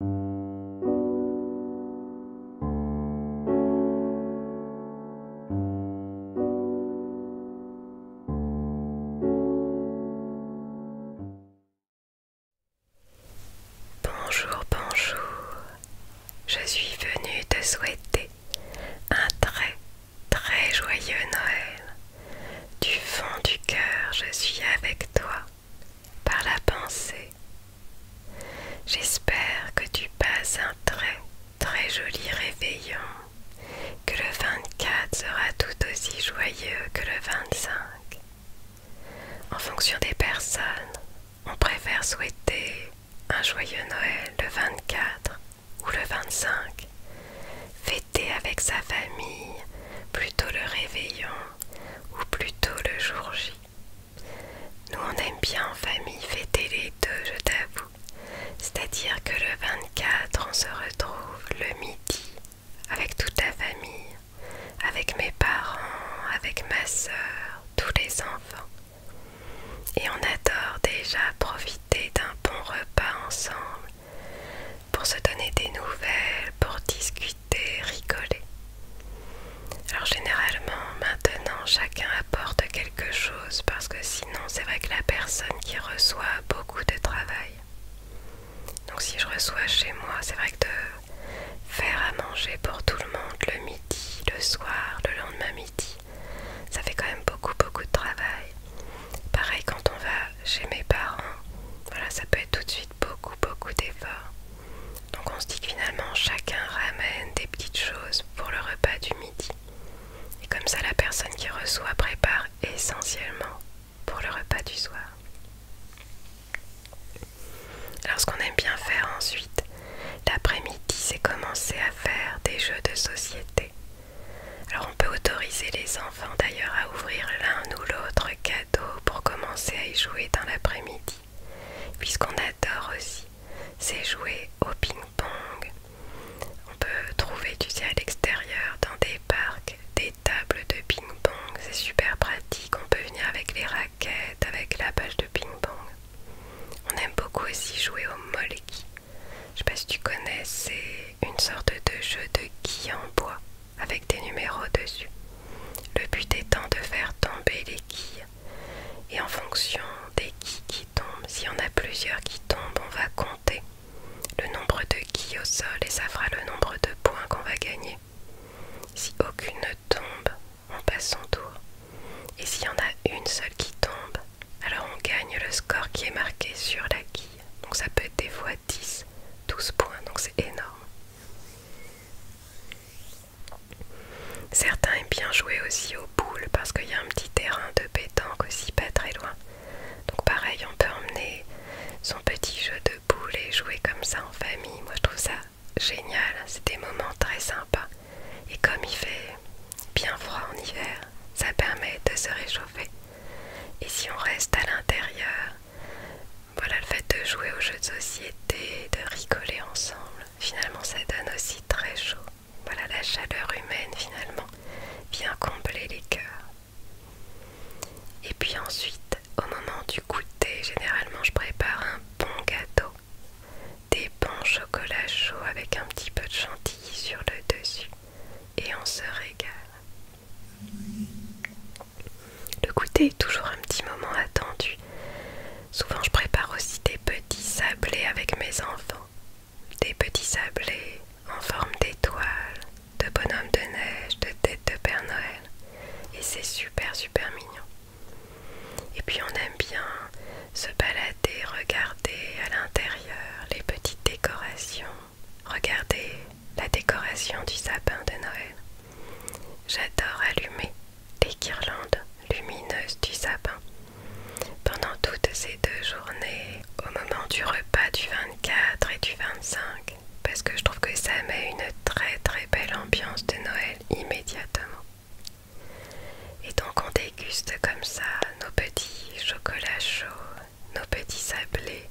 Bonjour, bonjour. Je suis venue te souhaiter un très, très joyeux Noël. Du fond du cœur, je suis avec toi par la pensée. J'espère que tu passes un très très joli réveillon, que le 24 sera tout aussi joyeux que le 25. En fonction des personnes, on préfère souhaiter un joyeux Noël le 24 ou le 25, fêter avec sa famille plutôt le réveillon ou plutôt le jour J. Nous on aime bien en famille fêter les deux, je t'avoue. C'est-à-dire que le 24, on se retrouve le midi avec toute la famille, avec mes parents, avec ma sœur, tous les enfants. Et on adore déjà profiter d'un bon repas ensemble pour se donner des nouvelles, pour discuter, rigoler. Alors généralement maintenant chacun apporte quelque chose parce que sinon c'est vrai que la personne qui reçoit a beaucoup de travail. Donc si je reçois chez moi, c'est vrai que de faire à manger pour tout le monde le midi, le soir, le lendemain midi, ça fait quand même beaucoup beaucoup de travail. Pareil quand on va chez mes parents, ça peut être tout de suite beaucoup, beaucoup d'efforts. Donc on se dit que finalement chacun ramène des petites choses pour le repas du midi. Et comme ça la personne qui reçoit prépare essentiellement pour le repas du soir. Alors ce qu'on aime bien faire ensuite, l'après-midi, c'est commencer à faire des jeux de société. Alors on peut autoriser les enfants d'ailleurs à ouvrir l'un ou l'autre cadeau pour commencer à y jouer dans l'après-midi. Puisqu'on adore aussi, c'est jouer au ping-pong. On peut trouver, du sais, à l'extérieur, dans des parcs, des tables de ping-pong. C'est super pratique, on peut venir avec les raquettes, avec la balle de ping-pong. On aime beaucoup aussi jouer au molki. Je sais pas si tu connais, c'est une sorte de jeu de quilles en bois avec des numéros dessus. Le but étant de faire tomber les quilles. Et en fonction des quilles qui tombent, s'il y en a plusieurs qui tombent, on va compter le nombre de quilles au sol et ça fera le nombre de points qu'on va gagner. Si aucune ne tombe, on passe son tour. Et s'il y en a une seule qui tombe, alors on gagne le score qui est marqué sur la quille. Donc ça peut être des fois 10, 12 points, donc c'est énorme. Certains aiment bien jouer aussi aux boules parce qu'il y a un petit terrain de pétanque aussi pas très loin. Donc pareil, on peut emmener son petit jeu de boules et jouer comme ça en famille. Moi je trouve ça génial, c'est des moments très sympas. Et comme il fait bien froid en hiver, ça permet de se réchauffer. Et si on reste à l'intérieur, voilà le fait de jouer aux jeux de société, de rigoler ensemble, finalement ça donne aussi très chaud. Voilà la chaleur humaine finalement vient combler les cœurs. Et puis ensuite, au moment du goûter, généralement je prépare un bon gâteau, des bons chocolats chauds avec un petit peu de chantilly sur le dessus et on se régale. Le goûter est toujours un petit moment attendu. Souvent je prépare aussi des petits sablés avec mes enfants. Des petits sablés en forme d'étoiles, de bonhommes de neige, de tête de Père Noël. Et c'est super super mignon. Et puis on aime bien se balader, regarder à l'intérieur les petites décorations, regarder la décoration du sapin de Noël. J'adore allumer les guirlandes lumineuses du sapin. Pendant toutes ces deux journées, au moment du repas du 24 et du 25, parce que je trouve que ça met une très très belle ambiance de Noël immédiatement. Et donc on déguste comme ça nos petits chocolats chauds, nos petits sablés,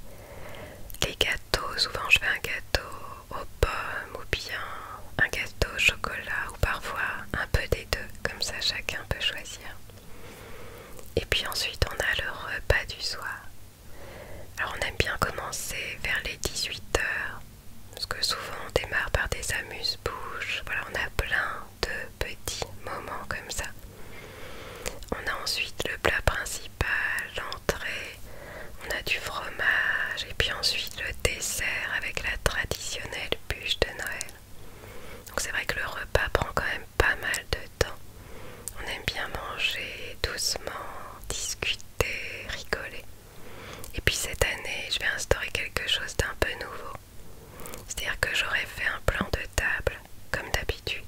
les gâteaux, souvent je fais un gâteau aux pommes ou bien un gâteau au chocolat ou parfois un peu des deux, comme ça chacun peut choisir. Et puis ensuite on a le repas du soir. Alors on aime bien commencer vers les 18h, parce que souvent on démarre par des amuse-bouches, voilà on a plein de petits moments comme ça. On a ensuite le plat principal, l'entrée, on a du fromage et puis ensuite le dessert avec la traditionnelle bûche de Noël. Donc c'est vrai que le repas prend quand même pas mal de temps. On aime bien manger doucement, discuter, rigoler. Et puis cette année, je vais instaurer quelque chose d'un peu nouveau. C'est-à-dire que j'aurais fait un plan de table comme d'habitude.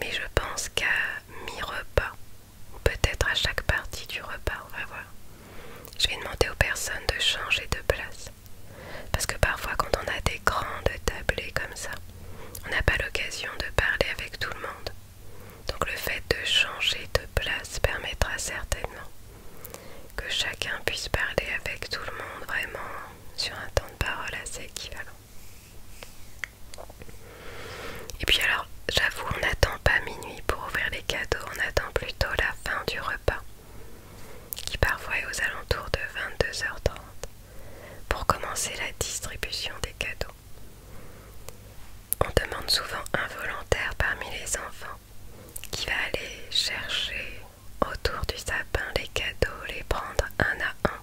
Mais je pense qu'à mi-repas, ou peut-être à chaque partie du repas, on va voir. Je vais demander aux personnes de changer de place. Parce que parfois quand on a des grandes tablées comme ça, on n'a pas l'occasion de parler avec tout le monde. Donc le fait de changer de place permettra certainement que chacun puisse parler avec tout le monde vraiment sur un temps de parole assez équivalent. Et puis alors, j'avoue, on n'attend pas minuit pour ouvrir les cadeaux, on attend plutôt la fin du repas, qui parfois est aux alentours de 22h30, pour commencer la distribution des cadeaux. On demande souvent un volontaire parmi les enfants qui va aller chercher autour du sapin les cadeaux, les prendre un à un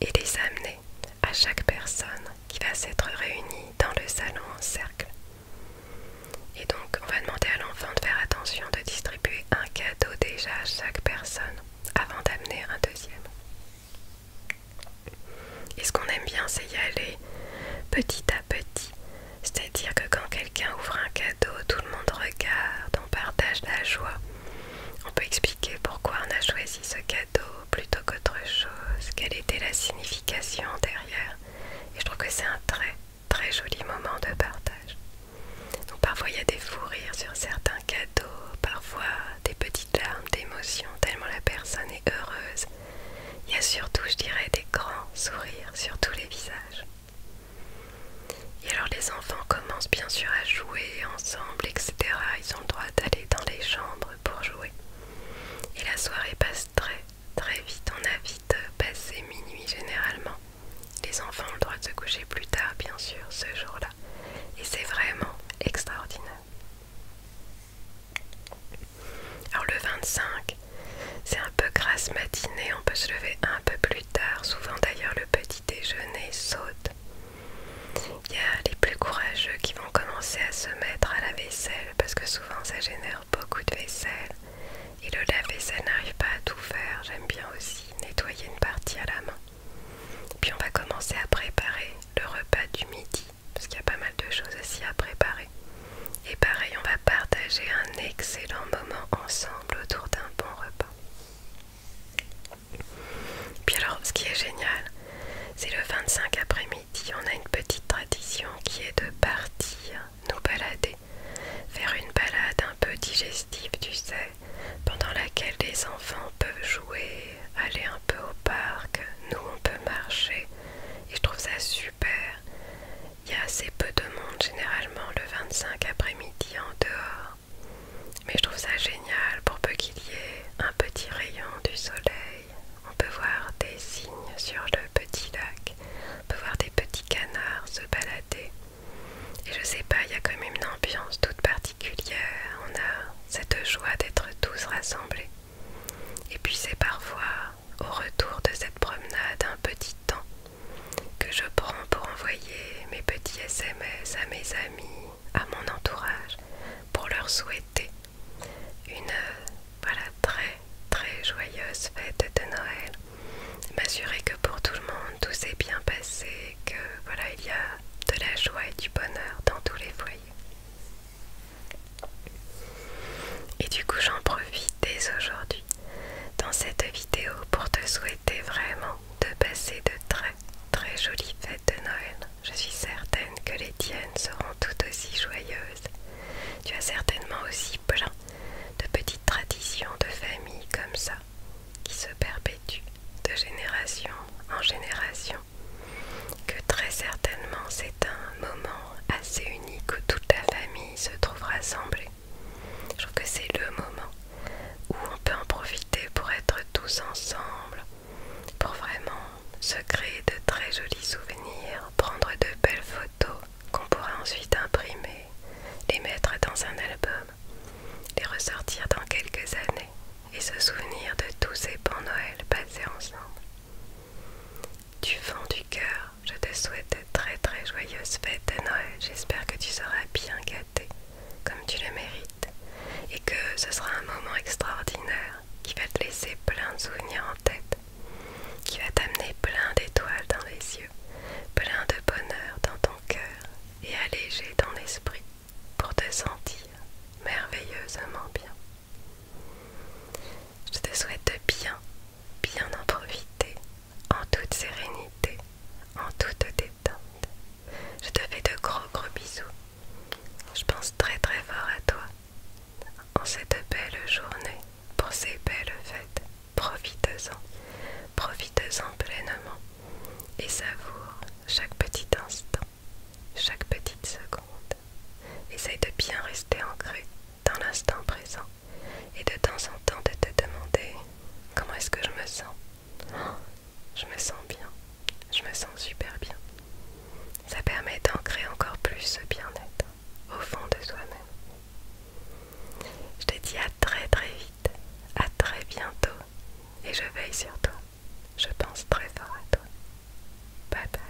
et les amener à chaque personne qui va s'être réunie dans le salon en cercle. Et donc on va demander à l'enfant de faire attention de distribuer un cadeau déjà à chaque personne avant d'amener un deuxième. Et ce qu'on aime bien c'est y aller petit à petit c'est-à-dire que quand quelqu'un ouvre un cadeau, tout le monde regarde, on partage la joie. On peut expliquer pourquoi on a choisi ce cadeau plutôt qu'autre chose, quelle était la signification derrière. Et je trouve que c'est un très très joli moment de partage. Donc parfois il y a des fous rires sur certains cadeaux, parfois des petites larmes d'émotion, tellement la personne est heureuse il y a surtout, je dirais, des grands sourires sur tous les visages. Et alors les enfants commencent bien sûr à jouer ensemble, etc. Ils ont le droit d'aller dans les chambres pour jouer. Et la soirée passe très très vite. On a vite euh, passé minuit généralement. Les enfants ont le droit de se coucher plus tard, bien sûr, ce jour-là. Et c'est vraiment extraordinaire. Alors le 25, c'est un peu grasse matinée, on peut se lever un peu plus tard, souvent d'ailleurs le petit déjeuner saute. Il y a les plus courageux qui vont commencer à se mettre à la vaisselle parce que souvent ça génère beaucoup de vaisselle et le lave-vaisselle n'arrive pas à tout faire, j'aime bien aussi nettoyer une partie à la main. Puis on va commencer à préparer le repas du midi parce qu'il y a pas mal de choses aussi à préparer. Et pareil, on va partager un excellent moment ensemble autour d'un bon repas. Puis alors, ce qui est génial, c'est le 25 après-midi, on a une petite tradition qui est de partir, nous balader, faire une balade un peu digestive, tu sais, pendant laquelle les enfants peuvent jouer aller un peu au parc, nous on peut marcher et je trouve ça super. Il y a assez peu de monde généralement le 25 après-midi en dehors, mais je trouve ça génial pour peu qu'il y ait un petit rayon du soleil. On peut voir des cygnes sur le petit lac, on peut voir des petits canards se balader. Et je sais pas, il y a quand même une ambiance toute particulière. On a cette joie d'être tous rassemblés. Et puis c'est parfois au retour de cette promenade un petit temps que je prends pour envoyer mes petits SMS à mes amis, à mon entourage, pour leur souhaiter une voilà, très très joyeuse fête de Noël. M'assurer que pour tout le monde tout s'est bien passé, que voilà, il y a de la joie et du bonheur dans tous les foyers. Et du coup j'en profite dès aujourd'hui dans cette vidéo pour te souhaiter vraiment de passer de très très jolies fêtes de Noël. Je suis certaine que les tiennes seront tout aussi joyeuses. Tu as certainement aussi plein de petites traditions de famille comme ça qui se perpétuent de génération en génération que très certainement c'est un moment assez unique où toute la famille se trouve rassemblée. Je trouve que c'est le moment où on peut en profiter pour être tous ensemble, pour vraiment se créer de très jolis souvenirs, prendre de belles photos qu'on pourra ensuite imprimer, les mettre dans un album, les ressortir dans quelques années et se souvenir de tous ces bons Noël passés ensemble. Du fond du cœur, je te souhaite de très très joyeuse fête de Noël. J'espère que tu seras bien gâté, comme tu le mérites, et que ce sera un moment extraordinaire qui va te laisser plein de souvenirs en tête, qui va t'amener plein d'étoiles dans les yeux, plein de bonheur dans ton cœur et allégé dans l'esprit pour te sentir merveilleusement bien. Je te souhaite bien, bien en profiter, en toute sérénité, en toute détente. Je te fais de gros gros bisous. Je pense très très fort à toi. En cette belle journée, pour ces belles fêtes, profite-en, profite-en pleinement et savoure chaque petit instant, chaque petite seconde. Essaye de bien rester ancré dans l'instant présent et de temps en temps de te demander comment est-ce que je me sens. je me sens bien, je me sens super bien. Ça permet d'ancrer encore plus ce bien-être au fond de soi-même. Je te dis à très très vite, à très bientôt et je veille toi, Je pense très fort à toi. Bye bye.